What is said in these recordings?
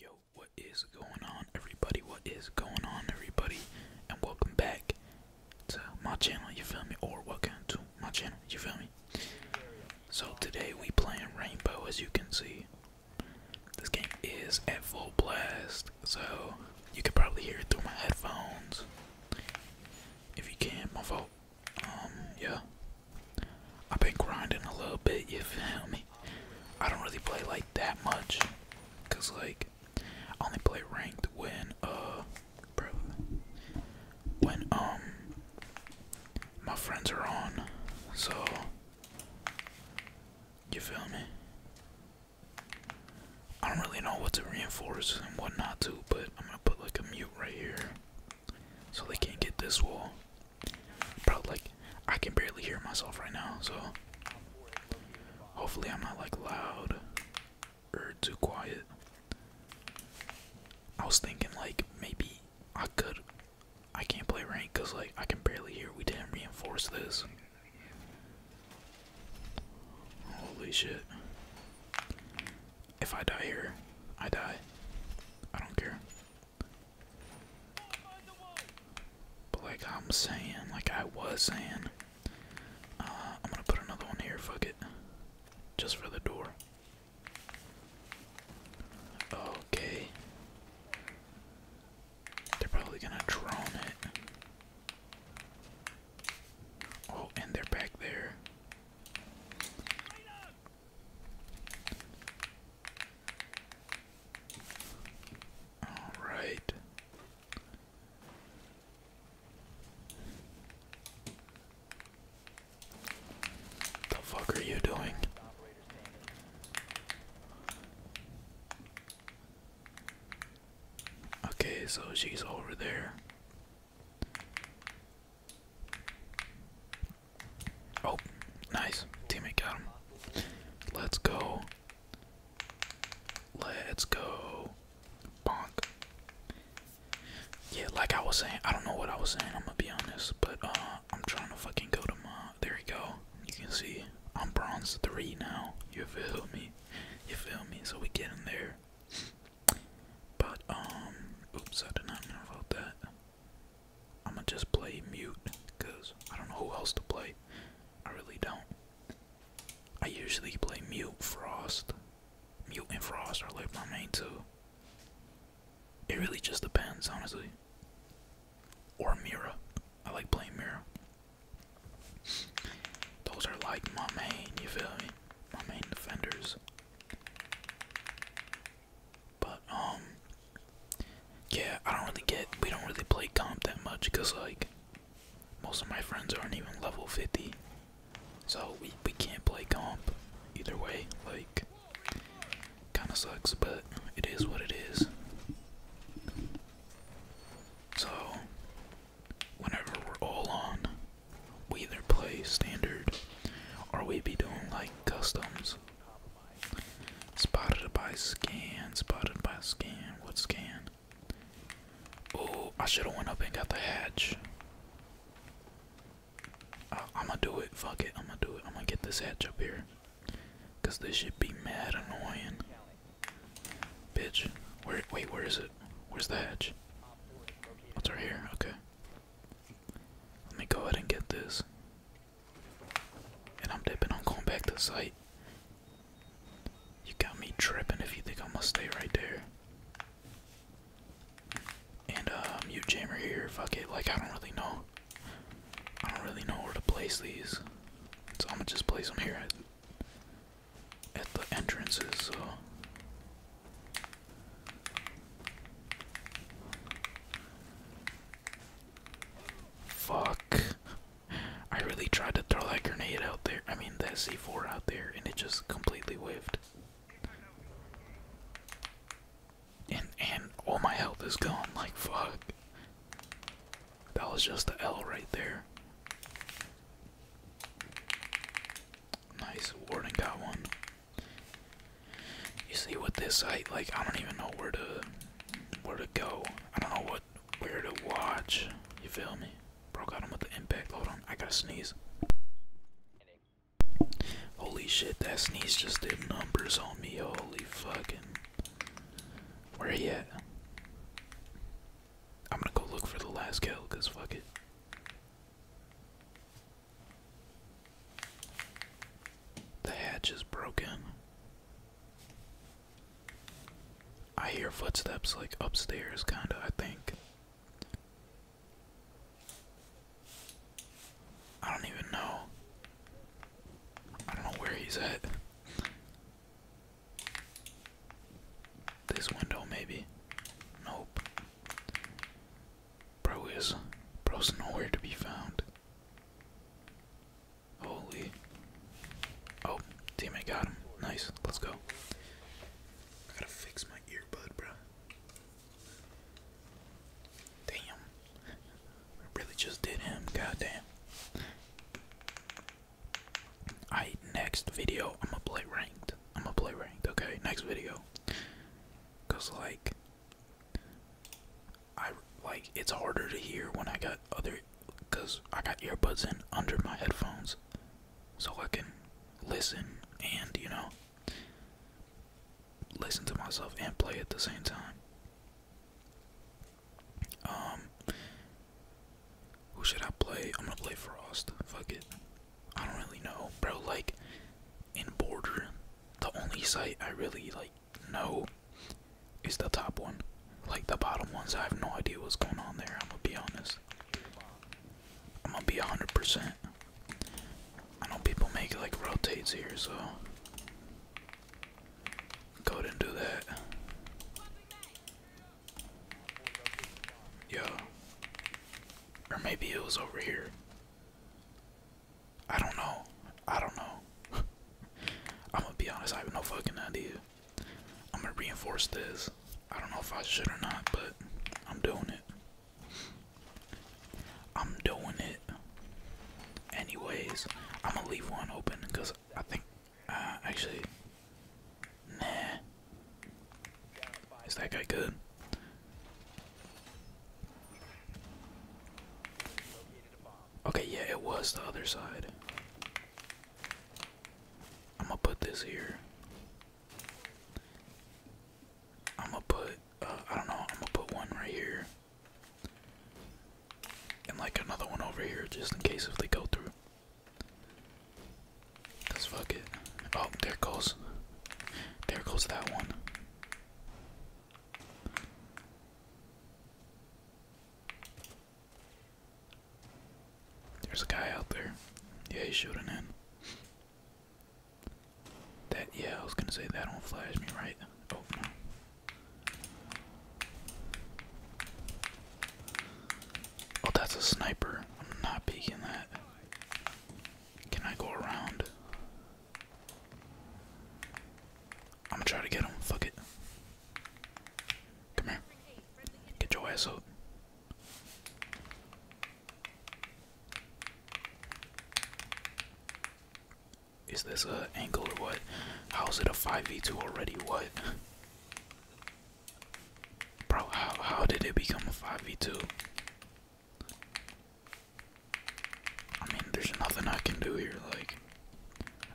Yo, what is going on, everybody? What is going on, everybody? And welcome back to my channel, you feel me? Or welcome to my channel, you feel me? So today we playing Rainbow, as you can see. This game is at full blast, so you can probably hear it through my headphones. If you can, my fault. Um, yeah. I've been grinding a little bit, you feel me? I don't really play like that much, cause like I only play ranked when uh, bro, when um my friends are on. So you feel me? I don't really know what to reinforce and what not to, but I'm gonna put like a mute right here, so they can't get this wall. Bro, I can barely hear myself right now, so hopefully I'm not like loud or too quiet. I was thinking like maybe I could I can't play rank cuz like I can barely hear we didn't reinforce this. Holy shit. If I die here, I die. I don't care. But like I'm saying, like I was saying, uh, I'm gonna put another one here, fuck it. Just for the door. Okay. They're probably gonna drone it. Oh, and they're back there. All right. The fuck are you doing? Okay, so she's over there. Oh, nice. Teammate got him. Let's go. Let's go. Bonk. Yeah, like I was saying, I don't know what I was saying, I'm gonna be honest, but uh I'm trying to fucking go to my there you go. You can see I'm bronze three now. You feel me? You feel me? So we get in there. But um oops I did not know about that. I'ma just play mute because I don't know who else to play. I really don't. I usually play mute frost. Mute and frost are like my main two. It really just depends, honestly. Or Mira. I like playing Mira. Those are like my main, you feel me? My main defenders. But um, yeah, I don't really get. We don't really play comp that much, cause like most of my friends aren't even level 50, so we we can't play comp. Either way, like, kind of sucks, but it is what it is. So, whenever we're all on, we either play standard or we be doing like customs. Spotted by scan, spotted by scan. What scan? Oh, I should have went up and got the hatch. I am going to do it. Fuck it. I'ma do it. I'ma get this hatch up here. Cause this should be mad annoying. Bitch. Where wait, where is it? Where's the hatch? What's right here? Okay. Let me go ahead and get this. And I'm dipping, on going back to sight. You got me tripping if you think I'm gonna stay right there. And uh mute jammer here, fuck it, like I don't really know. I don't really know where to place these. So I'ma just place them here at the entrances, so Fuck. I really tried to throw that grenade out there. I mean, that C4 out there, and it just completely whiffed. And and all my health is gone. Like fuck. That was just the L right there. Nice, Warden got one. You see, what this I like I don't even know where to where to go. I don't know what where to watch. You feel me? Bro got him with the impact. Hold on, I gotta sneeze. Holy shit, that sneeze just did numbers on me. Holy fucking. Where he at? I'm gonna go look for the last kill, cause fuck it. The hatch is broken. I hear footsteps like upstairs, kinda, I think. I don't even know. I don't know where he's at. This window, maybe. Nope. Bro is. Bro's nowhere to be found. Holy. Oh, teammate got him. Nice. Let's go. I gotta fix my earbud, bro. Damn. I really just did him. Goddamn. Alright, next video, I'm gonna play ranked. I'm gonna play ranked, okay? Next video. Because, like, I like it's harder to hear when I got other because I got earbuds in under my headphones so I can listen and you know listen to myself and play at the same time. Um who should I play? I'm gonna play Frost. Fuck it. I don't really know, bro. Like in Border, the only site I really like no. It's the top one. Like the bottom ones, I have no idea what's going on there. I'm gonna be honest. I'm gonna be 100%. I know people make like rotates here, so. Go and do that. Yo. Or maybe it was over here. I don't know. I don't know. I'm gonna be honest, I have no fucking idea. I'm gonna reinforce this. I don't know if I should or not, but I'm doing it. I'm doing it. Anyways, I'm gonna leave one open because I think, uh, actually, nah. Is that guy good? Okay, yeah, it was the other side. I'm gonna put this here. I'm gonna put, uh, I don't know, I'm gonna put one right here. And like another one over here just in case if they go through. Cause fuck it. Oh, there goes. There goes that one. There's a guy out there. Yeah, he's shooting in. That, yeah, I was gonna say that don't flash me, right? Oh, no. Oh, that's a sniper. I'm not peeking that. Can I go around? I'm gonna try to get him. Fuck it. Come here. Get your ass up. Is this a angle or what? How is it a 5v2 already? What? Bro, how, how did it become a 5v2? I mean, there's nothing I can do here. Like,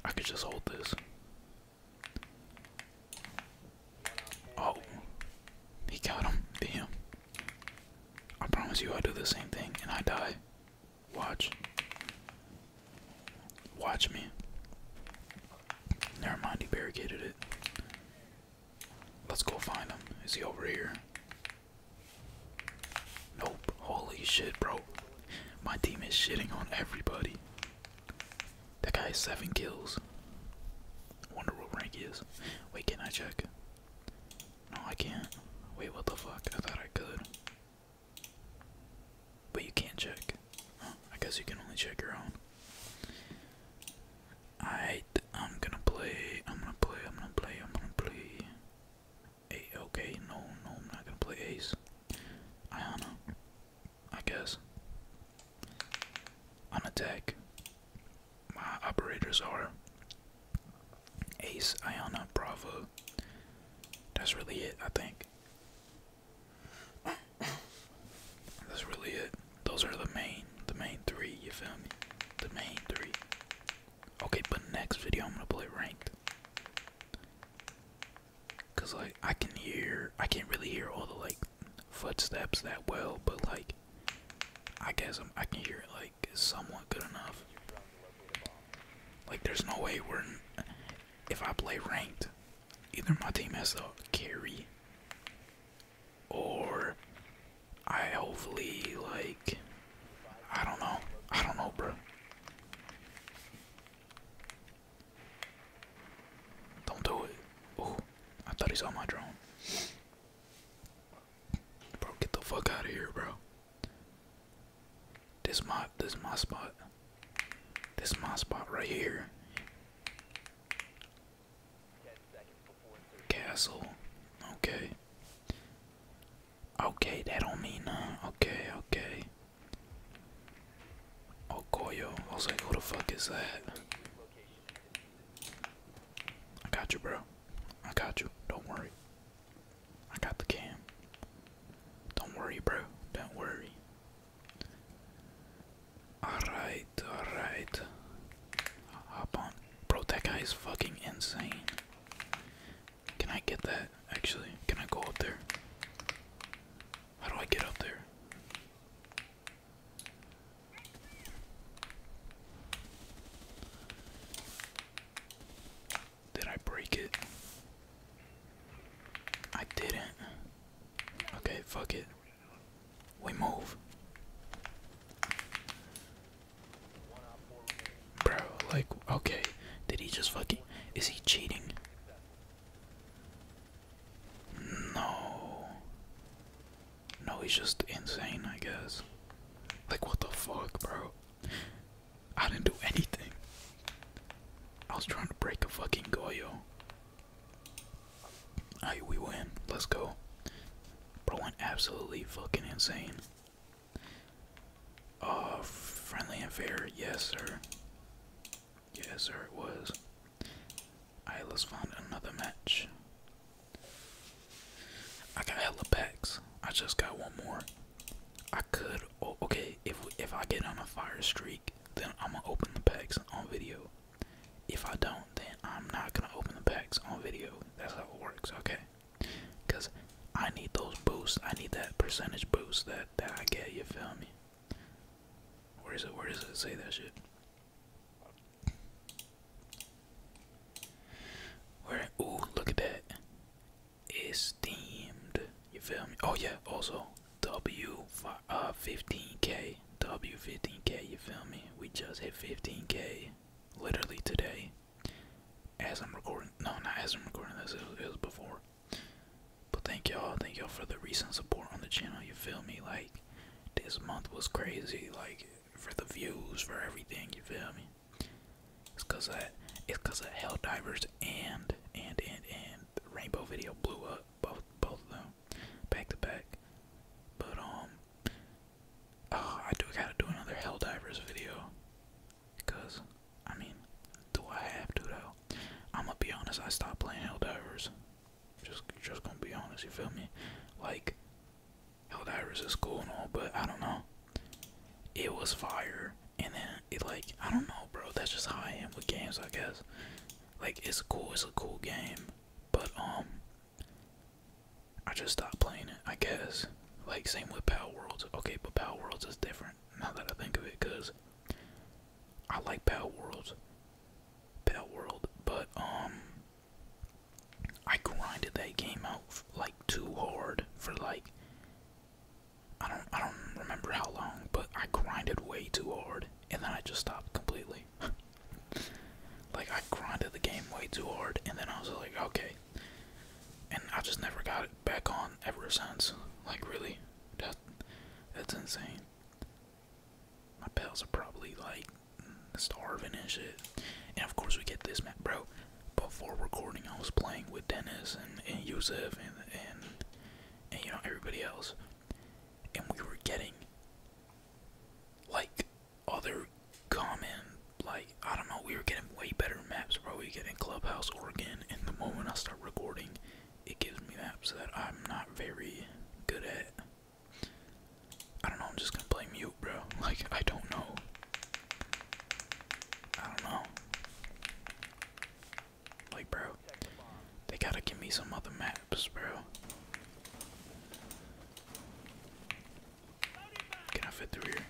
I could just hold this. Oh, he got him. Damn. I promise you, I do the same thing and I die. Watch. Watch me. Never mind, he barricaded it. Let's go find him. Is he over here? Nope. Holy shit, bro. My team is shitting on everybody. That guy has seven kills. Wonder what rank he is. Wait, can I check? No, I can't. Wait, what the fuck? I thought I could. But you can't check. I guess you can only check your own. I I'm gonna play. I'm gonna play. I'm gonna play. I'm gonna play. A okay, no, no, I'm not gonna play Ace. Ayana. I guess. I'm a attack, my operators are Ace, Iona, Bravo. That's really it, I think. That's really it. Those are the main, the main three, you feel me? The main three. Okay, but next video I'm gonna play ranked. Cause like I can hear, I can't really hear all the like footsteps that well, but like I guess I'm, I can hear it like somewhat good enough. Like there's no way we're, if I play ranked, either my team has to carry, or I hopefully like, I don't know, I don't know, bro. Don't do it. Oh, I thought he saw my drone. Bro, get the fuck out of here, bro. This my this my spot. This is my spot right here. Castle. Okay. Okay, that don't mean nothing. Okay, okay. Oh, Goyo. I was like, who the fuck is that? I got you, bro. I got you. Don't worry. I got the cam. Don't worry, bro. Don't worry. Alright, alright. Hop on. Bro, that guy is fucking insane. Can I get that, actually? Can I go up there? How do I get up there? Did I break it? I didn't. Okay, fuck it. We move. Bro, like, okay. Did he just fucking. Is he cheating? No. No, he's just insane, I guess. Like, what the fuck, bro? I didn't do anything. I was trying to break a fucking Goyo. Alright, we win. Let's go. Bro went absolutely fucking insane. Uh, friendly and fair. Yes, sir. Yes, sir, it was. Isla's found another match. I got hella packs. I just got one more. I could. okay, if if I get on a fire streak, then I'm gonna open the packs on video. If I don't, then I'm not gonna open the packs on video. That's how it works, okay? Cause I need those boosts. I need that percentage boost that that I get. You feel me? Where is it? Where does it say that shit? Where? Ooh, look at that. Esteemed. You feel me? Oh yeah. Also, W uh 15k. W 15k. You feel me? We just hit 15k, literally today. As I'm recording. No, not as I'm recording this. It it was before. But thank y'all, thank y'all for the recent support on the channel. You feel me? Like this month was crazy. Like for the views, for everything. You feel me? It's cause of it's cause of Hell Divers and and and and Rainbow video blew up both both of them back to back. But um, oh, I do gotta do another Hell Divers video. Cause I mean, do I have to though? I'm gonna be honest, I stopped playing Helldivers. Just, just gonna be honest. You feel me? Like, Helldivers is cool and all, but I don't know. It was fire, and then it like I don't know, bro. That's just how I am with games, I guess. Like, it's cool. It's a cool game, but um, I just stopped playing it. I guess. Like, same with Power Worlds. Okay, but Power Worlds is different now that I think of it, cause I like Battle World. Battle World, but um I grinded that game out like too hard for like I don't I don't remember how long, but I grinded way too hard and then I just stopped completely. like I grinded the game way too hard and then I was like, okay. And I just never got it back on ever since. Like really. That that's insane. My pals are probably like starving and shit. And of course, we get this map, bro. Before recording, I was playing with Dennis and, and Yusuf and, and, you know, everybody else. And we were getting like other common, like, I don't know, we were getting way better maps, bro. We were getting Clubhouse Oregon. And the moment I start recording, it gives me maps that I'm not very good at. I don't know, I'm just gonna play mute, bro. Like, I don't know. I don't know. Like, bro, they gotta give me some other maps, bro. Can I fit through here?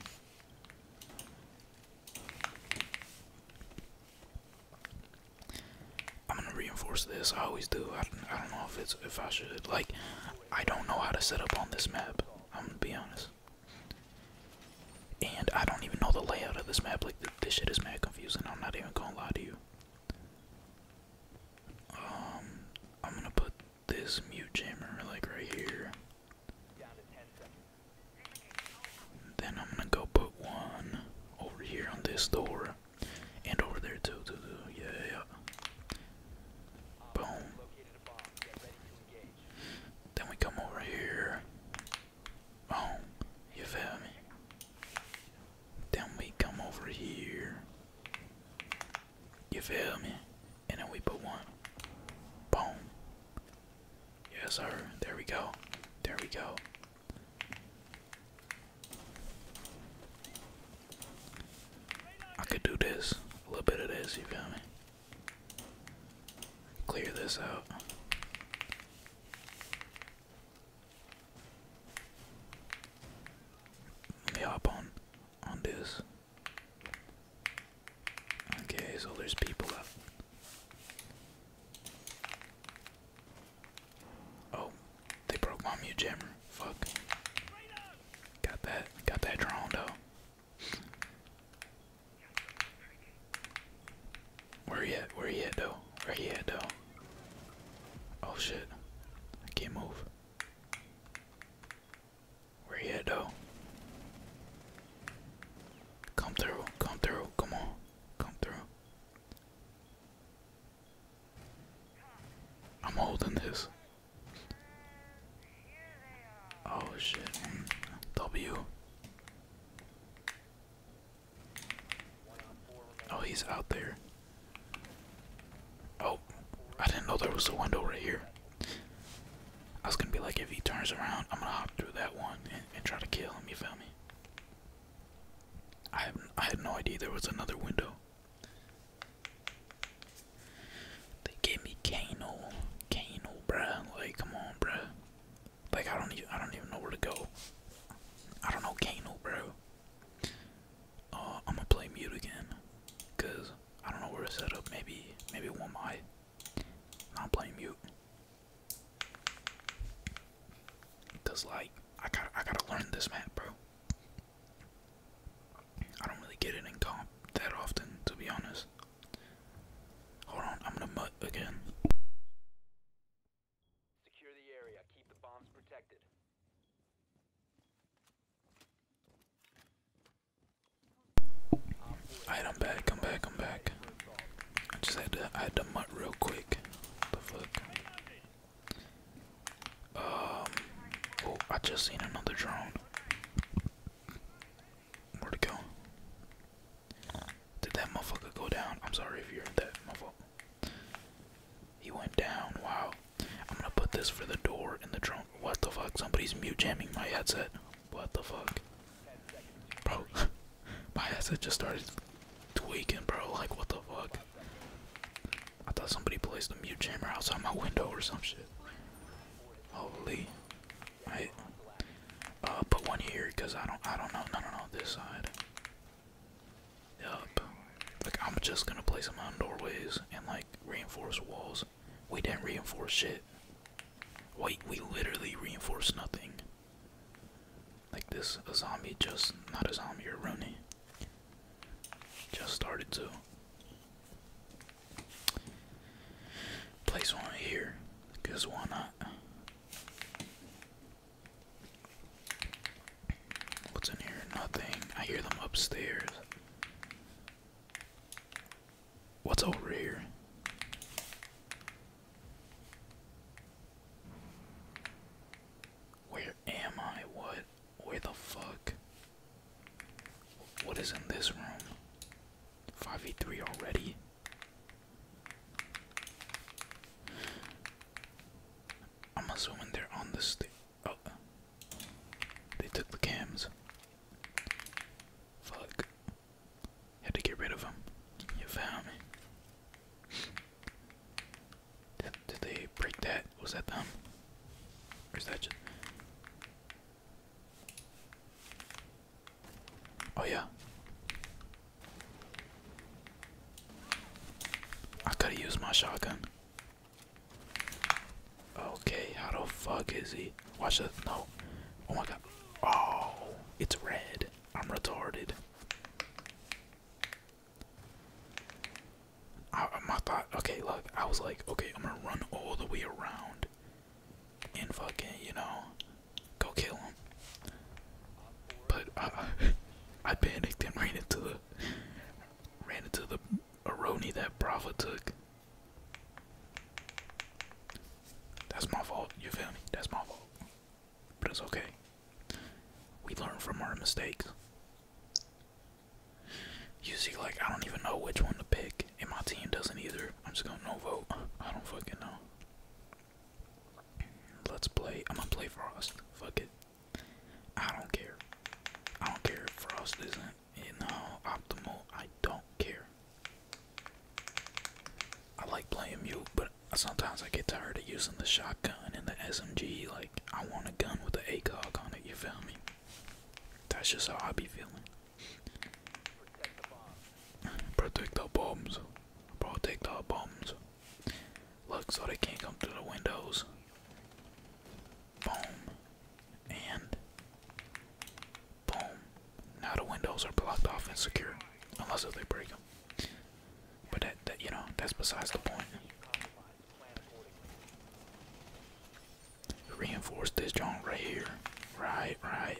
I'm gonna reinforce this. I always do. I don't, know if it's if I should. Like, I don't know how to set up on this map. I'm gonna be honest. And I don't even know the layout of this map. Like, this shit is mad confusing. I'm not even gonna lie to you. Um, I'm gonna put this mute jammer like right here. Then I'm gonna go put one over here on this door. And over there too, too, too. Yeah, yeah. Boom. Then we come over here. Boom. You feel me? Then we come over here. You feel me? And then we put one. Boom. Yes, sir. There we go. There we go. I could do this, a little bit of this, you feel me? Clear this out. Let me hop on on this. Okay, so there's people up. Oh, they broke my mute jammer. Fuck. Got that. Got that drawn though. Where he at? Where he at though? Where he at though? Oh shit. I can't move. Where he at though? Come through. Come through. Come on. Come through. I'm holding this. Oh shit. W. Oh, he's out there. Oh, I didn't know there was a window right here. I was gonna be like, if he turns around, I'm gonna hop through that one and, try to kill him, you feel me? I had no idea there was another window. They gave me Kano, Kano, bruh. Like, come on, bruh. Like, I don't even I don't even know where to go. I don't know Kano, bro. Uh, I'm gonna play mute again, cause I don't know where to set up. Maybe maybe one mic. I'm playing mute. Cause like I gotta I gotta learn this map, bro. I don't really get it in comp that often, to be honest. Hold on, I'm gonna mutt again. Secure back. i back. i back. I just had to I had to mutt real quick. What the fuck? Um, oh, I just seen another drone. Where'd go? Did that motherfucker go down? I'm sorry if you're that. My fault. He went down. Wow. I'm gonna put this for the door in the trunk. What the fuck? Somebody's mute jamming my headset. What the fuck? Bro, my headset just started tweaking, bro. Like, what the fuck? I thought somebody placed a mute jammer outside my window or some shit. Holy. I Uh, put one here, cause I don't, I don't know. No, no, no. This side. Yup. Like, I'm just gonna place them on doorways and like reinforce walls. We didn't reinforce shit. Wait, we literally reinforced nothing like this a zombie just not a zombie or Rooney just started to place one here because why not what's in here nothing I hear them upstairs what's over here where am I? What? Where the fuck? What is in this room? 5v3 already? I'm assuming they're on the stage. Oh. They took the cams. Fuck. Had to get rid of them. You found me. Did, they break that? Was that them? Or that just. Oh, yeah. I could've used my shotgun. Okay, how the fuck is he? Watch this. No. Oh my god. Oh, it's red. I'm retarded. I, my thought, okay, look, I was like, okay, I'm gonna run all the way around and fucking, you know, go kill him. But I panicked and ran into the ran into the Aroni that Brava took. That's my fault. You feel me? That's my fault. But it's okay. We learn from our mistakes. You see, like, I don't even know which one to pick, and my team doesn't either. I'm just gonna no vote. I don't fucking know. Let's play. I'm gonna play Frost. Fuck it. I don't care. I don't care if Frost isn't, you uh, know, optimal. I don't care. I like playing mute, but sometimes I get tired of using the shotgun and the SMG. Like, I want a gun with an ACOG on it, you feel me? That's just how I be feeling. Protect the bombs. Protect the bombs. Look so they can't come through the windows. Boom. And boom. Now the windows are blocked off and secure. Unless if they break them. But that you know, that's besides the point. Reinforce this joint right here. Right, right.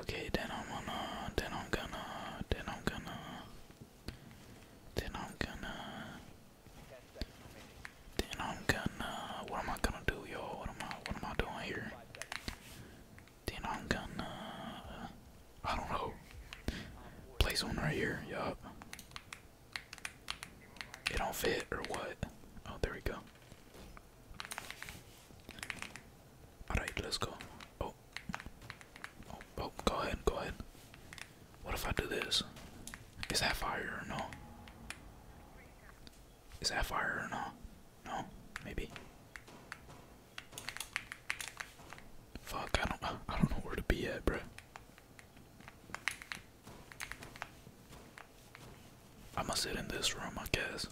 Okay, then I'm gonna, then I'm gonna, then I'm gonna, then I'm gonna, then I'm gonna. What am I gonna do, yo? What am I, what am I doing here? Then I'm gonna. I don't know. Place one right here. Yup. It don't fit or what? Oh, there we go. Alright, let's go. Oh. oh. oh. go ahead, go ahead. What if I do this? Is that fire or no? Is that fire or no? No, maybe. Fuck, I don't, I don't know where to be at, bro. I'm gonna sit in this room, I guess.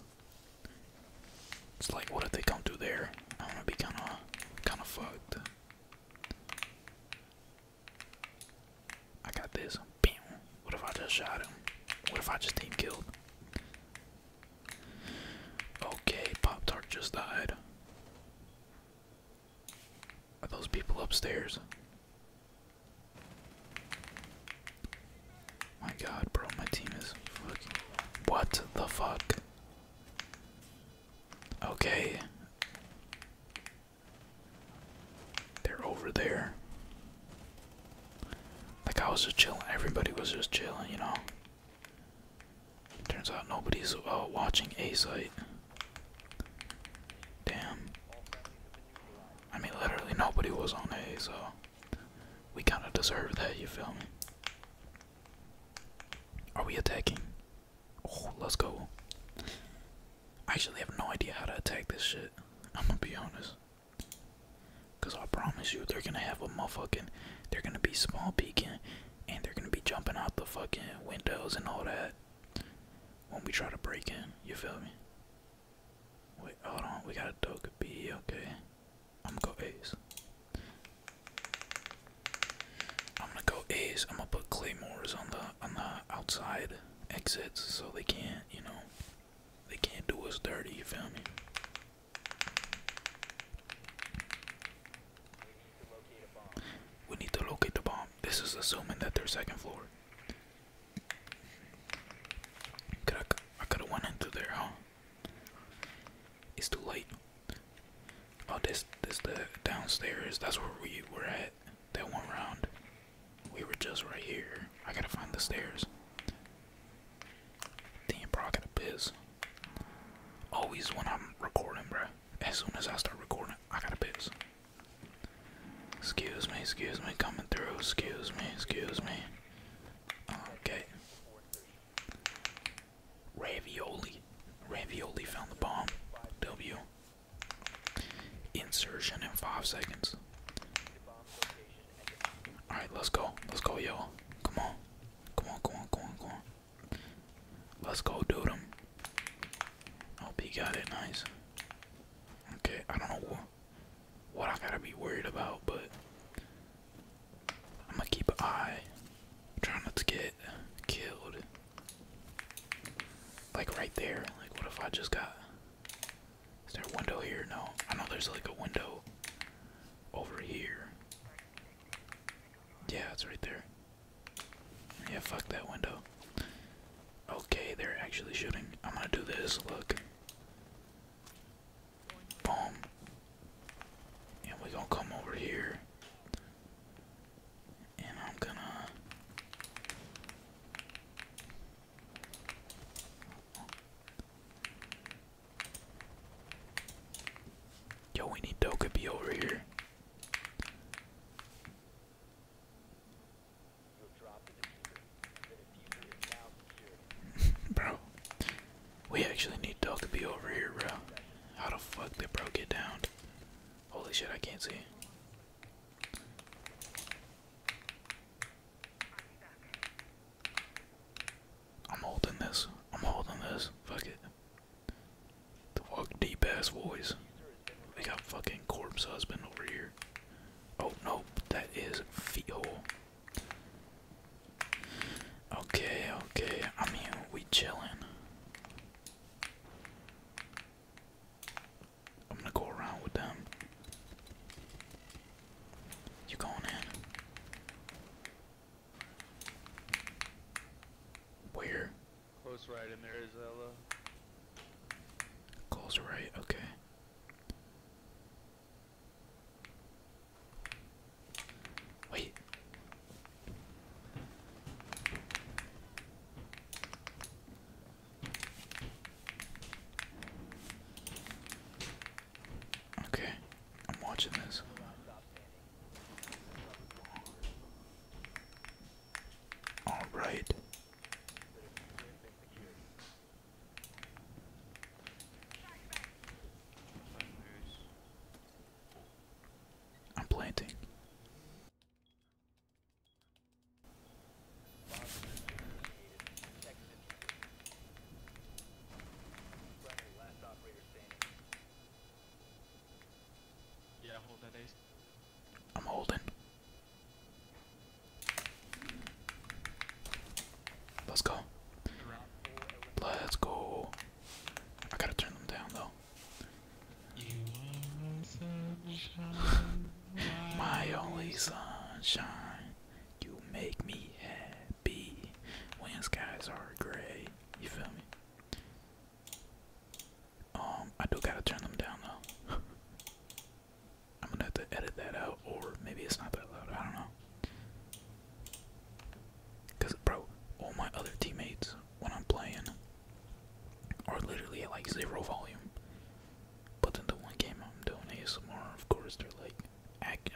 It's like, what if they come through there? I'm gonna be kind of, kind of fucked. I got this. Bam. What if I just shot him? What if I just team killed? Okay, Pop Tart just died. Are those people upstairs? My god, bro, my team is What the fuck? Okay. They're over there. Like, I was just chilling. Everybody was just chilling, you know? Turns out nobody's uh, watching A site. Damn. I mean, literally nobody was on A, so we kind of deserve that, you feel me? Are we attacking? Oh, let's go. I actually have no idea how to attack this shit. I'm gonna be honest. Because I promise you, they're gonna have a motherfucking. They're gonna be small peeking and they're gonna be jumping out the fucking windows and all that when we try to break in. You feel me? Wait, hold on. We got to do a B, Okay, I'm gonna go A's. I'm gonna go A's. I'm gonna put claymores on the on the outside exits so they can't, you know, they can't do us dirty. You feel me? We need to locate the bomb. This is assuming that they're second floor. I, could have went into there, huh? It's too late. Oh, this this the downstairs. That's where we were at. That one round. We were just right here. I gotta find the stairs. Damn, bro, I gotta Always when I'm recording, bruh as soon as I start recording, I gotta piss. Excuse me, excuse me, coming through. Excuse me, excuse me. Okay. Ravioli. Ravioli found the bomb. W. Insertion in five seconds. Alright, let's go. Let's go, yo. Come on. Come on, come on, come on, come on. Let's go, dude. Him. Hope oh, he got it nice. Okay, I don't know what I gotta be worried about, but I'm gonna keep an eye. trying not to get killed. Like right there. Like, what if I just got. Is there a window here? No. I know there's like a window over here. Yeah, it's right there. Yeah, fuck that window. Okay, they're actually shooting. I'm gonna do this, look. Boom. And we're gonna come over here. And I'm gonna. Yo, we need Doka over here. bro, we actually need Dog to be over here, bro. How the fuck did bro get down? Holy shit, I can't see. I'm holding this. I'm holding this. Fuck it. The walk deep ass boys. We got fucking corpse husband over here. Oh no, that is feet hole. Okay, okay. I mean, we chillin'. I'm gonna go around with them. You going in? Where? Close right in there is Ella. Close right, okay. Wait. Okay, I'm watching this. All right. I'm planting. Yeah, hold that ace. I'm holding. Let's go. Let's go. I gotta turn them down though. My only sunshine, you make me happy when skies are gray. You feel me? Um, I do gotta turn them down though. I'm gonna have to edit that out, or maybe it's not that loud. I don't know. Cause, bro, all my other teammates when I'm playing are literally at like zero volume. But then the one game I'm doing ASMR, of course, they're like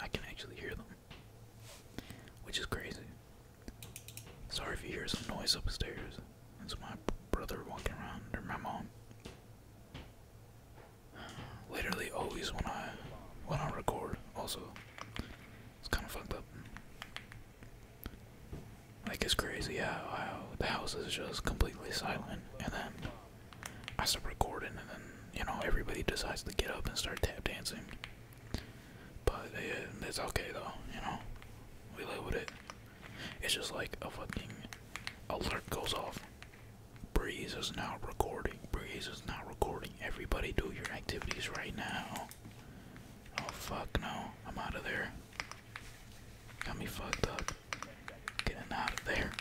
I can actually hear them, which is crazy. Sorry if you hear some noise upstairs. It's my brother walking around, or my mom. Literally always when I when I record, also, it's kind of fucked up. Like it's crazy how, the house is just completely silent, and then I start recording, and then you know everybody decides to get up and start tap dancing. But it's okay though, you know. We live with it. It's just like a fucking alert goes off. Breeze is now recording. Breeze is now recording. Everybody do your activities right now. Oh fuck no. I'm out of there. Got me fucked up. Getting out of there.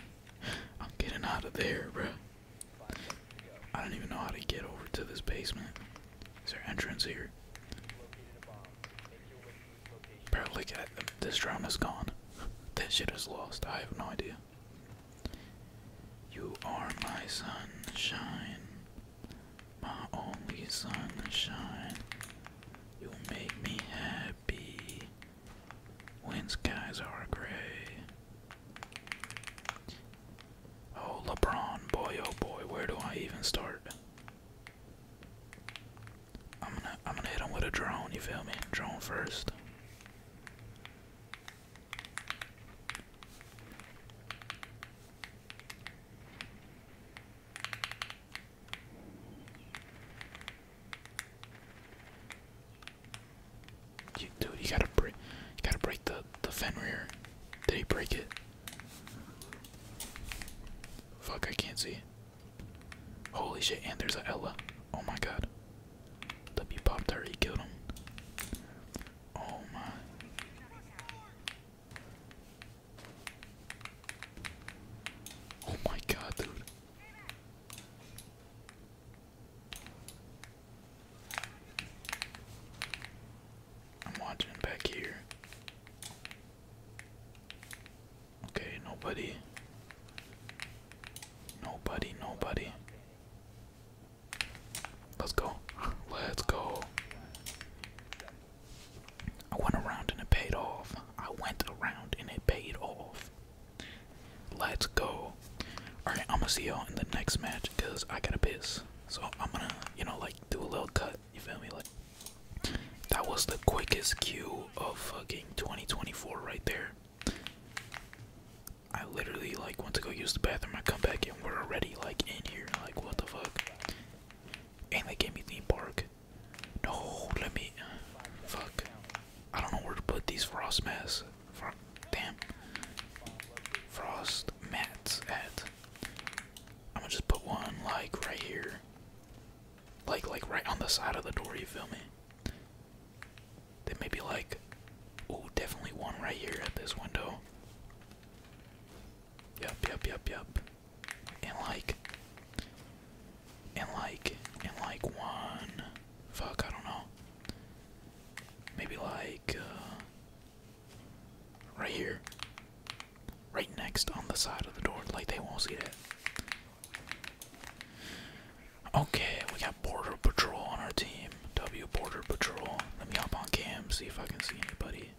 I'm getting out of there, bro. I don't even know how to get over to this basement. Is there entrance here? Apparently, this drone is gone. That shit is lost. I have no idea. You are my sunshine, my only sunshine. You make me happy when skies are gray. Oh, LeBron, boy, oh boy, where do I even start? I'm gonna I'm gonna hit him with a drone, you feel me? Drone first. dude, you gotta break, you gotta break the the Fenrir. Did he break it? Fuck, I can't see. Holy shit, and there's a Ella. Oh my god. W popped her, he killed him. Oh my. Oh my god, dude. I'm watching back here. Okay, nobody. Nobody, nobody. Let's go. Let's go. I went around and it paid off. I went around and it paid off. Let's go. Alright, I'm gonna see y'all in the next match because I gotta piss. So I'm gonna, you know, like do a little cut that. You feel me? Like that was the quickest queue of fucking 2024 right there. I literally like went to go use the bathroom. I come back and we're already like in here. Like what the fuck? And they gave me theme park. No, let me. Fuck. I don't know where to put these frost mats. Fro damn. Frost mats at. I'm gonna just put one like right here. Like like right on the side of the door, you feel me? There may be like, oh, definitely one right here at this window. Yep, yep, yep, yep. And like and like and like one fuck, I don't know. Maybe like uh right here right next on the side of the door, like they won't see that. Okay, we got Border Patrol on our team. W Border Patrol. Let me hop on cam, see if I can see anybody.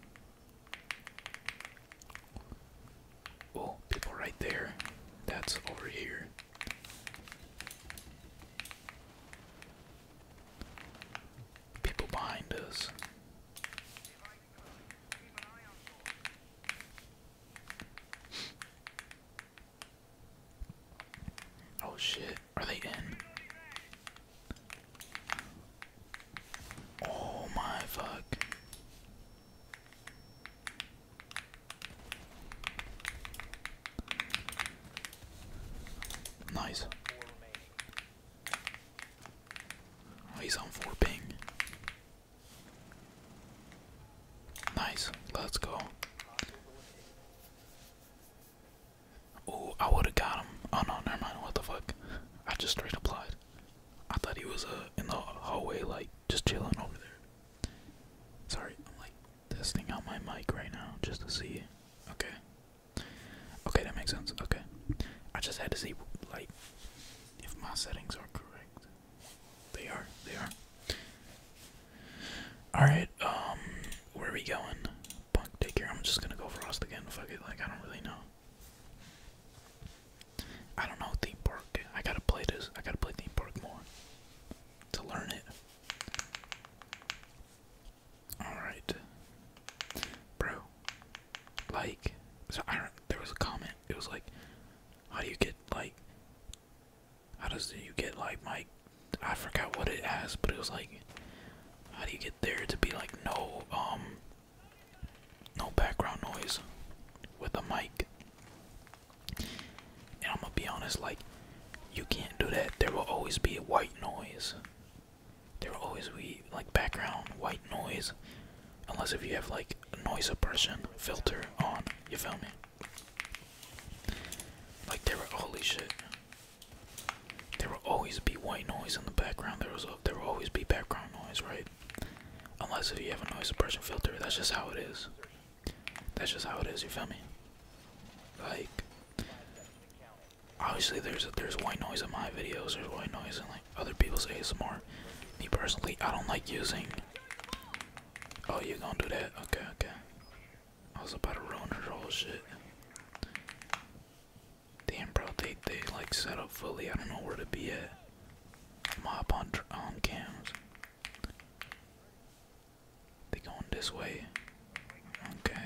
Oh, people right there. That's over here. People behind us. Oh shit, are they in? Oh my fuck. Nice. Oh, he's on four ping. Nice, let's go. Oh, I would have got him. Oh no, never mind. What the fuck? I just straight applied. I thought he was uh in the hallway, like just chilling over there. Sorry, I'm like testing out my mic right now just to see. Okay. Okay, that makes sense. Okay. I just had to see like if my settings are correct. They are, they are. Alright, um, where are we going? Punk, take care. I'm just gonna go Frost again. Fuck it, like, I don't really know. I don't know theme park. I gotta play this. I gotta play theme park more to learn it. Alright. Bro, like there was a comment it was like how do you get like how does you get like my I forgot what it has, but it was like how do you get there to be like no um no background noise with a mic and I'm gonna be honest like you can't do that there will always be a white noise there will always be like background white noise Unless if you have like a noise suppression filter on, you feel me? Like there were holy shit. There will always be white noise in the background. There was there will always be background noise, right? Unless if you have a noise suppression filter, that's just how it is. That's just how it is, you feel me? Like obviously there's there's white noise in my videos, there's white noise in like like other people's ASMR. Me personally, I don't like using. Oh, you gonna do that? Okay, okay. I was about to ruin her whole shit. Damn, bro, they they like set up fully. I don't know where to be at. Mob on on cams. They going this way. Okay.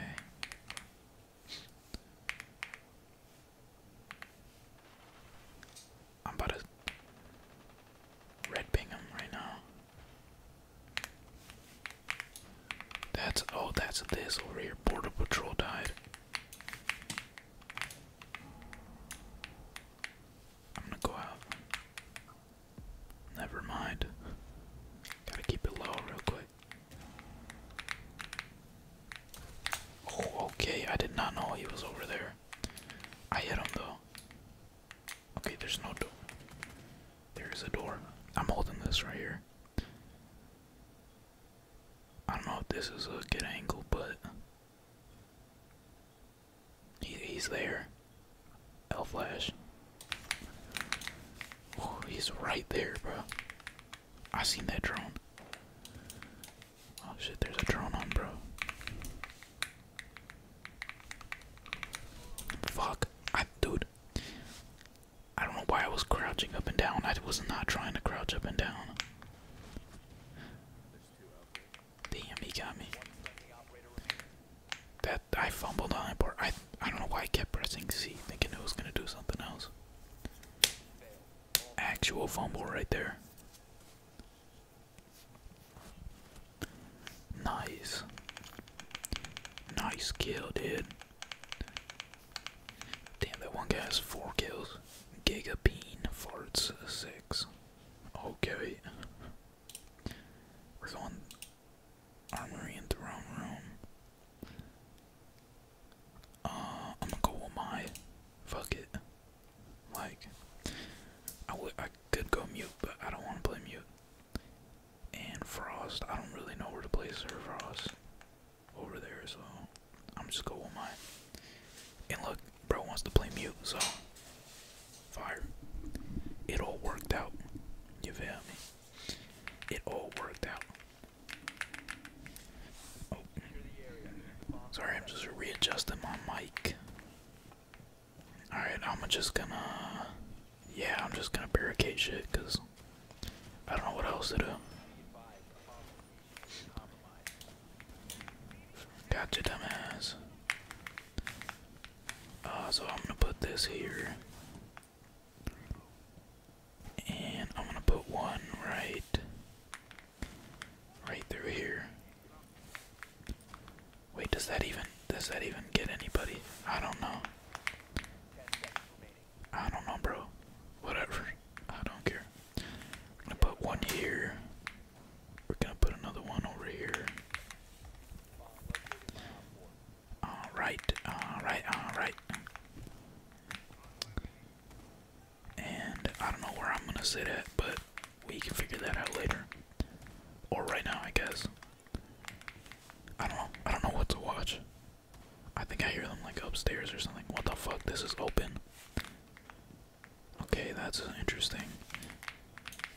I'm about to red ping him right now. That's oh, that's this over here. Border Patrol died. I'm gonna go out. Never mind. Gotta keep it low real quick. Oh, okay. I did not know he was over there. I hit him though. Okay, there's no door. There is a door. I'm holding this right here. I don't know if this is a good angle, but he's there. L flash. Oh, he's right there, bro. I seen that drone. Oh shit, there's a drone on, bro. Fuck. I, dude. I don't know why I was crouching up and down. I was not trying to crouch up and down. Damn, he got me. That I fumbled on that part. I I don't know why I kept pressing C, thinking it was gonna do something else. Actual fumble right there. Nice. Nice kill, dude. Damn, that one guy has four kills. Giga Bean farts six. Okay. We're going armory in the room. Uh, I'm gonna go with my. Fuck it. Like, I I could go mute, but I don't want to play mute. And Frost, I don't really know where to place her Frost over there, so I'm just going with mine. And look, bro wants to play mute, so fire. It all worked out. You feel me? It all worked out. Oh, Sorry, I'm just readjusting my mic. Alright, I'm just gonna. Yeah, I'm just gonna barricade shit because I don't know what else to do. Got Gotcha, dumbass. Uh, so I'm gonna put this here. And I'm gonna put one right Right through here. Wait, does that even does that even get anybody? I don't know. I don't know, bro. Whatever. I don't care. I'm gonna put one here. We're gonna put another one over here. Alright, alright, alright. And I don't know where I'm gonna sit at, but we can figure that out later. Or right now, I guess. I don't know. I don't know what to watch. I think I hear them like upstairs or something. What the fuck? This is open. Okay, that's interesting.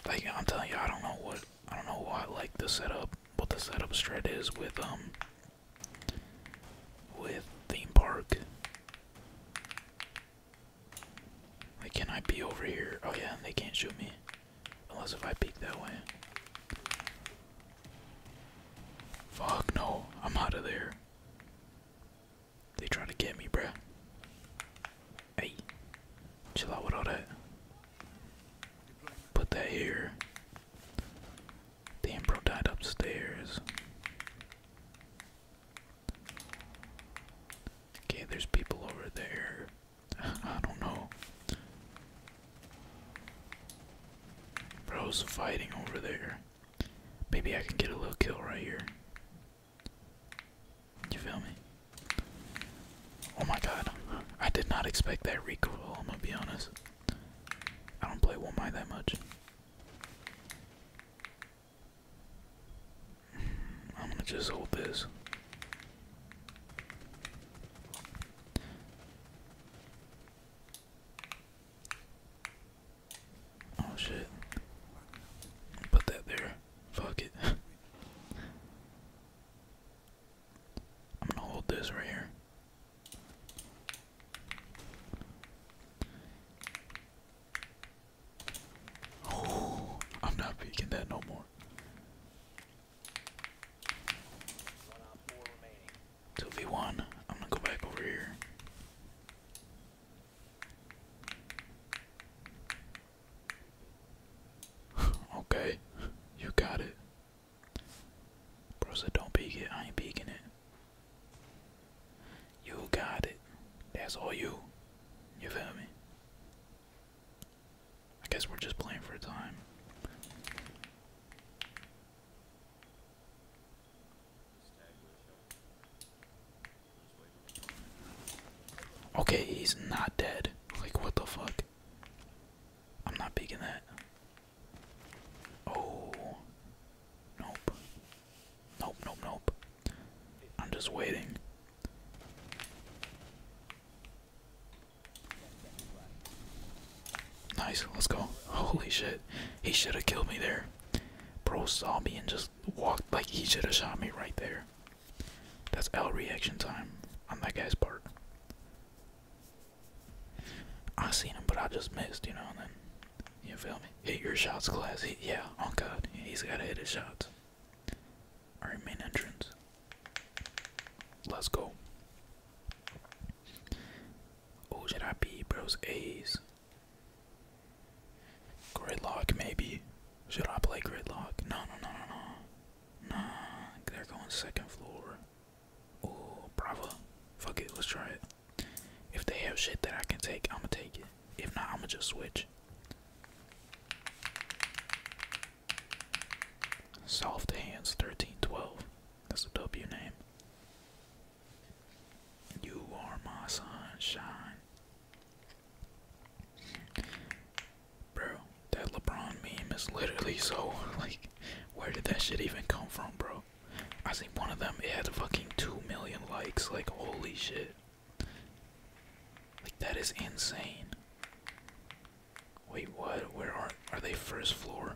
Like I'm telling you, I don't know what I don't know why like the setup, what the setup strat is with um with theme park. Like, can I be over here? Oh, yeah, they can't shoot me. Unless if I peek that way. Fuck, no. I'm out of there. They trying to get me, bruh. Hey. Chill out with all that. Put that here. The bro died upstairs. Okay, there's people over there. I don't know. Bro's fighting over there. Maybe I can get a little kill right here. You feel me? Oh my god. I did not expect that recoil, I'm gonna be honest. I don't play One Mind that much. I'm gonna just hold this. Oh shit. Put that there. Fuck it. I'm gonna hold this right here. I'm not peeking that no more. Two v one. I'm gonna go back over here. okay, you got it. Bro said don't peek it. I ain't peeking it. You got it. That's all you. You feel me? I guess we're just playing for a time. Okay, he's not dead. Like, what the fuck? I'm not picking that. Oh. Nope. Nope, nope, nope. I'm just waiting. Nice, let's go. Holy shit. He should have killed me there. Bro saw me and just walked like he should have shot me right there. That's L reaction time on that guy's part. I seen him, but I just missed, you know, and then, you feel me? Hit your shots, class. He, yeah, on oh God. He's got to hit his shots. Alright, main entrance. Let's go. Oh, should I be bros A's? Great Gridlock, maybe. Should I play Great gridlock? No, no, no, no, no. Nah, they're going second floor. Oh, bravo. Fuck it, let's try it. If they have shit that I can take, I'ma take it. If not, I'm gonna just switch. Soft hands 1312. That's a a W name. You are my sunshine. Bro, that LeBron meme is literally so like where did that shit even come from, bro? I seen one of them, it had fucking two million likes, like holy shit. Like that is insane. Wait, what? Where are are they first floor?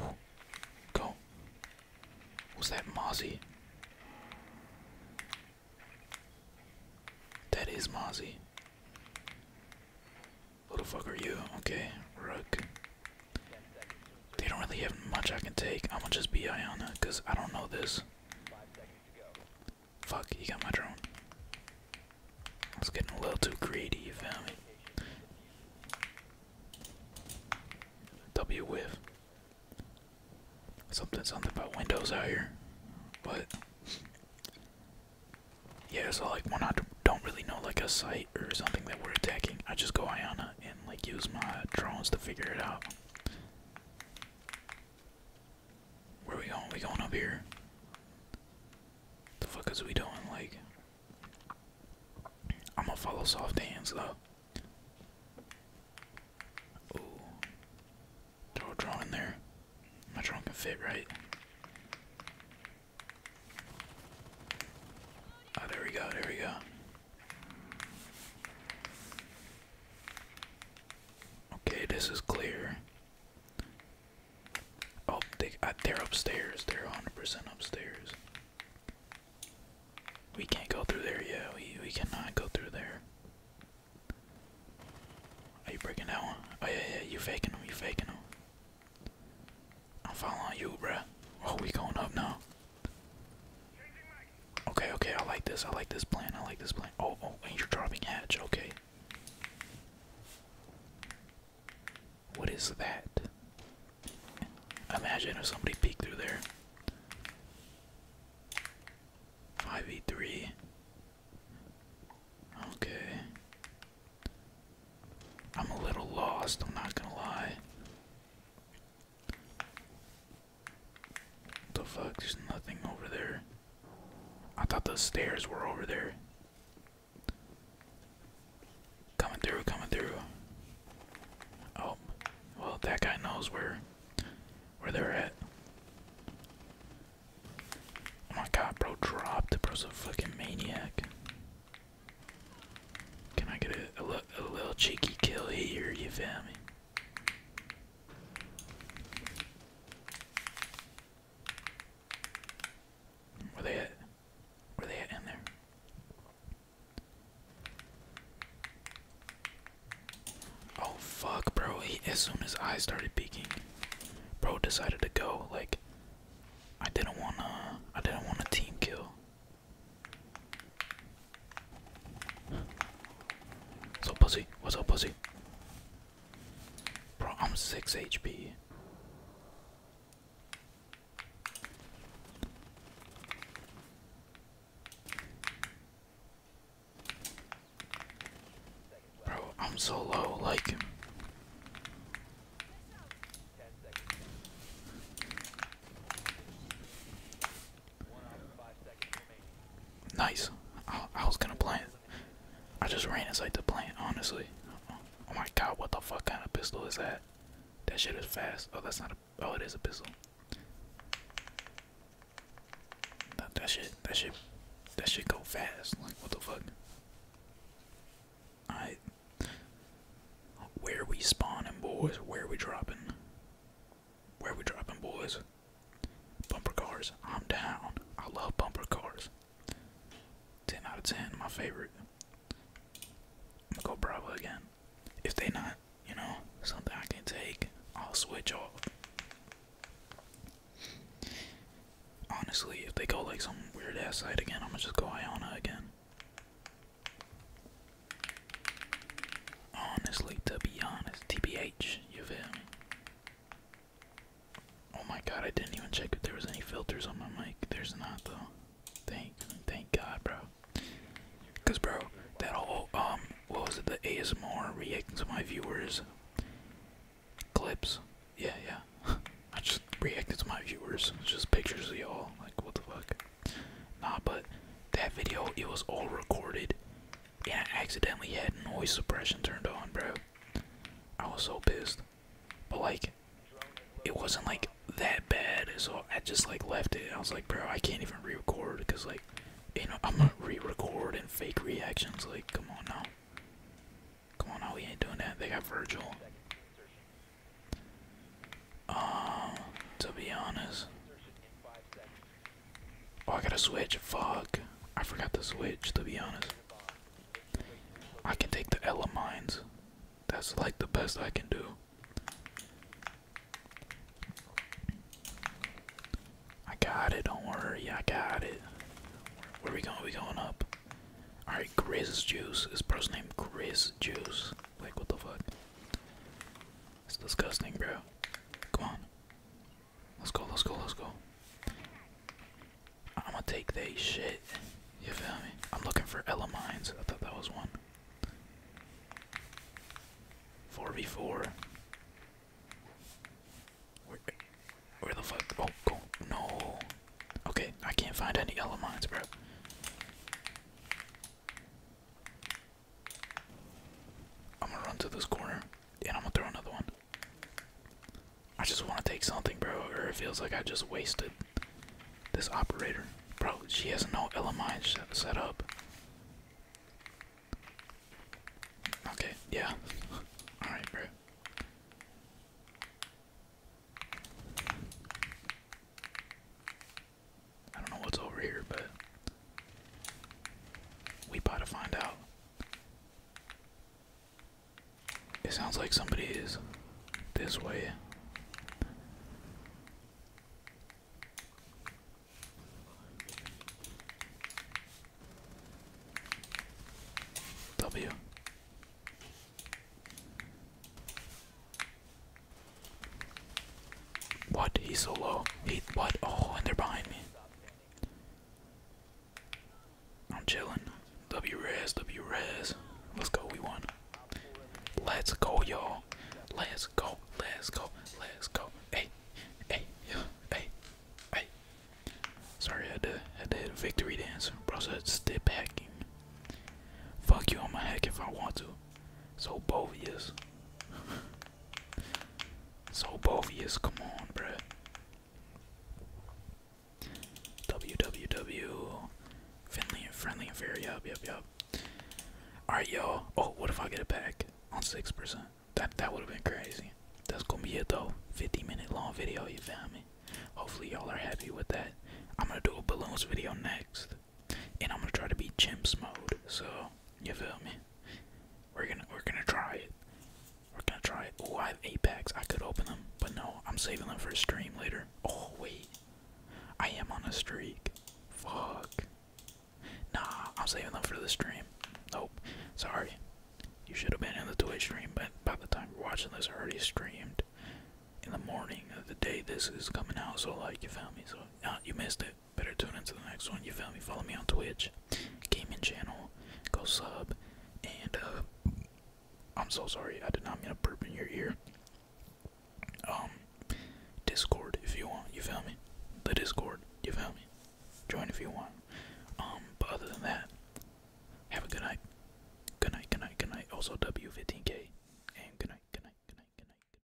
Ooh. Go. Was that Mozzie? That is Mozzie. Little fuck are you? Okay, Rook. They don't really have much I can take. I'm gonna just be Iona because I don't know this. Fuck, he got my drone. I was getting a little too greedy, you feel me? W whiff. Something, something about windows out here. But, yeah, so like when I don't really know like a site or something that we're attacking, I just go Iona and like use my drones to figure it out. Where are we going? We going up here? The fuck is we doing? Like, I'm gonna follow soft hands though. Ooh, throw a drone in there. My drone can fit, right? Oh, there we go. There we go. Okay, this is clear. Oh, they, they're upstairs. They're 100% upstairs. We can't go through there. Yeah, we, we cannot go through there. Are you breaking that one? Oh, yeah, yeah, you faking them. You faking them. I'm following you, bro. Oh, we going up now. Okay, okay, I like this. I like this plan. I like this plan. Oh, oh, and you're dropping hatch. Okay. What is that? Imagine if somebody peeked through there. 5v3. Okay. I'm a little lost, I'm not gonna lie. The fuck? There's nothing over there. I thought the stairs were over there. Coming through, coming through. Oh, well, that guy knows where where they're at. Oh my god, bro, dropped. Bro's a fucking maniac. Can I get a, a, little cheeky kill here? You feel Where they at? Where they at in there? Oh fuck, bro! as soon as I started peeking, bro decided to go. Like, I didn't wanna, I didn't want a team kill. What's up, pussy? What's up, pussy? Bro, I'm 6 HP. Bro, I'm so low, like. Nice. I, was gonna plant. I just ran inside the plant, honestly. Oh my god, what the fuck kind of pistol is that? That shit is fast. Oh, that's not a. Oh, it is a pistol. That, shit, that shit, that shit go fast. Like, what the fuck? Alright. Where we spawning, boys? Where we dropping? Where we dropping, boys? Bumper cars. I'm down. I love bumper cars. 10 out of 10, my favorite. I'm gonna go Bravo again. If they not, you know, something I can take, I'll switch off. Honestly, if they go like some weird ass side again, I'm gonna just go Iona again. Honestly, to be honest, TBH, you feel me? Oh my god, I didn't even check if there was any filters on my mic. There's not though. Thank, thank God, bro. Cause bro, that whole um, what was it? The ASMR reacting to my viewers clips. Yeah, yeah. I just reacted to my viewers. It's just pictures of y'all. Like, what the fuck? Nah, but that video, it was all recorded, and I accidentally had noise suppression turned on, bro. I was so pissed. But, like, it wasn't, like, that bad, so I just, like, left it. I was like, bro, I can't even re record, because, like, you know, I'm gonna re record and fake reactions. Like, come on now. Come on now, we ain't doing that. They got Virgil. Um, to be honest. Oh, I gotta switch. Fuck. I forgot to switch, to be honest. I can take the Ella mines. That's like the best I can do. I got it, don't worry, I got it. Where we going? We going up. Alright, Grizz Juice. This person named Grizz Juice. Like what the fuck? It's disgusting, bro. Come on. Let's go, let's go, let's go. I'm gonna take they shit. You feel me? I'm looking for Ella mines. I thought that was one. 4v4. Where, the fuck? Oh, go. No. Okay, I can't find any Ella mines, bro. I'm gonna run to this corner and I'm gonna throw another one. I just want to take something, bro, or it feels like I just wasted this operator. Bro, she has no LMI set, up. Okay, yeah. Alright, bro. I don't know what's over here, but we got to find out. It sounds like somebody is this way. W. What? He's so low. He what? Oh, and they're behind me. I'm chilling. Wres, Wres. Let's go. We won. Let's go, y'all. Let's go. Let's go. Let's go. Hey, hey, yeah, hey, hey. Sorry, I had to, had to hit victory dance. Bro said step hacking. Fuck you, I'ma if I want to. So bovious. so bovious, come on, bruh. WWW. Friendly and friendly and fair, yup, yup, yup. Alright, y'all. Oh, what if I get it back on 6%? That, that would have been crazy. That's gonna be it, though. 50 minute long video, you feel me? Hopefully, y'all are happy with that. I'm gonna do a balloons video next and I'm gonna try to be Jims mode. So you feel me? We're gonna we're gonna try it. We're gonna try it. Oh, I have Apex. I could open them, but no, I'm saving them for a stream later. Oh wait, I am on a streak. Fuck. Nah, I'm saving them for the stream. Nope. Sorry. You should have been in the Twitch stream, but by the time you're watching this, I already streamed in the morning of the day this is coming out. So like, you found me. So nah, you missed it better tune into the next one. You feel me? Follow me on Twitch, gaming channel, go sub, and uh, I'm so sorry. I did not mean to burp in your ear. Um, Discord if you want. You feel me? The Discord. You feel me? Join if you want. Um, but other than that, have a good night. Good night. Good night. Good night. Also W15K, and Good night. Good night. Good night. Good night.